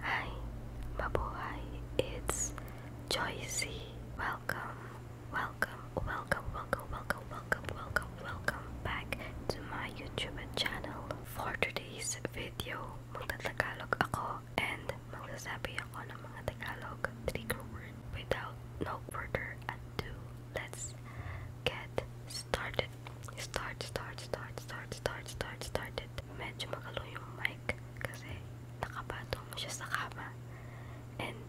Hi, mabuhay. It's Joycey. Welcome, welcome, welcome, welcome, welcome, welcome, welcome, welcome back to my YouTube channel. For today's video, magtatagalog ako and magsasabi ako ng mga Tagalog trigger word without no further ado. Let's get started. Start, start, start, start, start, start, started. Medyo magalo yung mic kasi nakabato mo siya sa kama and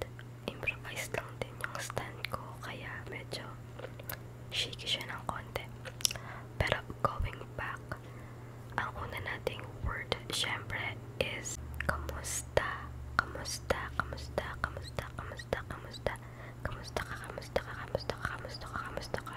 improvised lang din yung stand ko kaya medyo shaky siya ng konti pero going back ang una nating word syempre is kamusta kamusta kamusta kamusta kamusta kamusta kamusta ka kamusta ka kamusta ka kamusta ka kamusta ka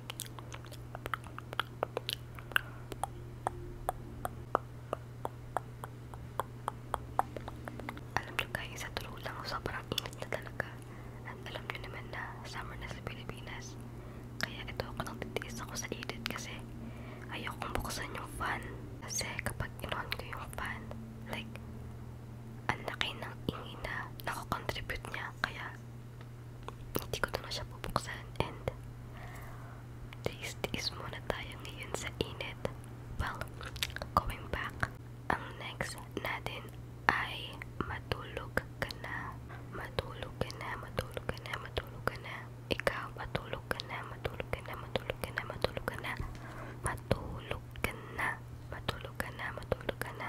Alam nyo guys, sa tulog lang sobrang init na talaga. At alam nyo naman na summer na sa Pilipinas. Kaya ito ako nang titiis ako sa edit kasi ayokong buksan yung fan. Kasi kapag inon ko yung fan, like, ang laki ng ingina na nakocontribute niya. Kaya hindi ko na siya bubuksan and tiis-tiis muna tayo ngayon sa init well, going back ang next natin ay matulog ka na matulog ka na, matulog ka na, matulog ka na ikaw, matulog ka na, matulog ka na, matulog ka na, matulog ka na matulog ka na, matulog ka na, matulog ka na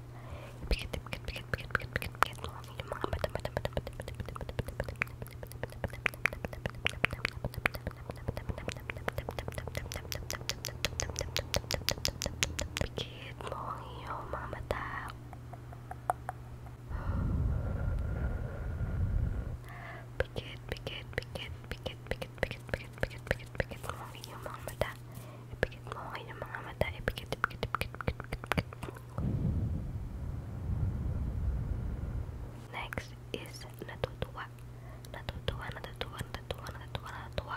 Pikit mo ang iyong mga mata. Pikit, pikit, pikit, pikit, pikit, pikit, pikit, pikit, pikit mo ang iyong mga mata mata. Ipikit mo kayo ng mga mata. Ipikit, ipikit, ipikit, ipikit, ipikit. Next is natutuwa. Natutuwa, natutuwa, natutuwa, natutuwa, natutuwa.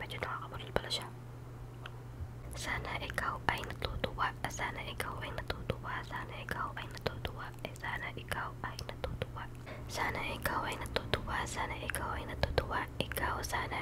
Medyo nakakabulol pala siya. Sana ikaw ay natutuwa. Sana ikaw ay natutuwa. Sana ikaw ay natutuwa. Eh, sana ikaw ay natutuwa. Sana ikaw ay natutuwa. Sana ikaw ay natutuwa. Ikaw sana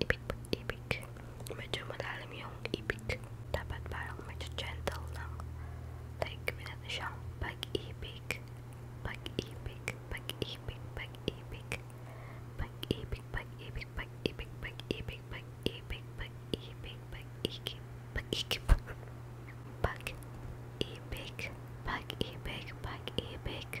ibig pag-ibig. Medyo malalim yung ibig. Dapat parang medyo gentle lang. Like, minat na siyang pag-ibig. Pag-ibig, pag-ibig, pag-ibig. Pag-ibig, pag-ibig, pag-ibig, pag-ibig, pag-ibig, pag-ibig, pag-ikip, pag-ikip. Pag-ibig, pag-ibig, pag-ibig.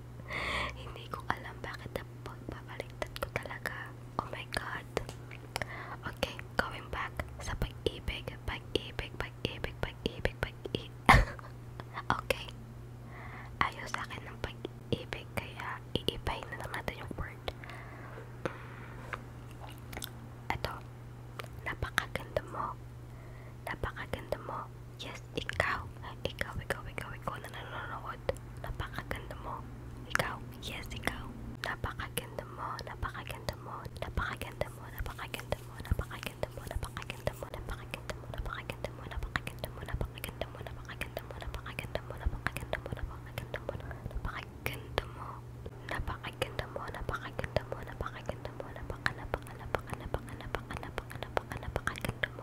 Hindi ko alam bakit pagbabaliktad ko talaga. Oh my God. Okay, going back sa pag-ibig, pag-ibig, pag-ibig, pag-ibig, pag-ibig. okay. Ayaw sa akin ng pag-ibig, kaya iibay na lang natin yung word. Ito. Napakaganda mo. Napakaganda mo. Yes, Ikaw, ikaw, ikaw, ikaw, ikaw na nanonood. Napakaganda mo. Ikaw, yes, ikaw. Napakaganda mo, napakaganda mo, napakaganda mo, napakaganda mo, napakaganda mo, napakaganda mo, napakaganda mo, napakaganda mo, napakaganda mo, napakaganda mo, napakaganda mo, napakaganda mo, napakaganda mo, napakaganda mo, napakaganda mo, napakaganda mo, napakaganda mo, napakaganda mo, napaka, napaka, napaka, napaka, napaka, napaka, napaka, napakaganda mo.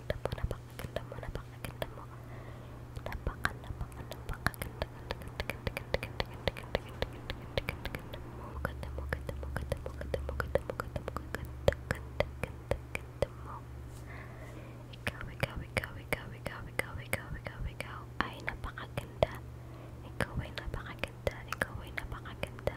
ganda mo, napakaganda mo, napakaganda mo. Napaka, napaka, napakaganda, ganda, ganda, ganda, ganda, ganda, ganda, ganda, ganda, ganda, ganda, ganda mo. Ganda mo, ganda mo, ganda mo, ganda mo, ganda mo, ganda mo, ganda, ganda, ganda, ganda mo. Ikaw, ikaw, ikaw, ikaw, ikaw, ikaw, ikaw, ikaw, ikaw ay napakaganda. Ikaw ay napakaganda, ikaw ay napakaganda.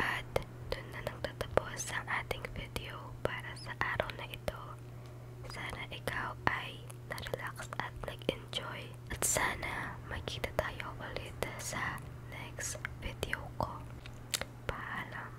At doon na nagtatapos ang ating video para sa araw na ito. Sana ikaw ay na-relax at nag-enjoy. At sana magkita tayo ulit sa next video ko. Paalam!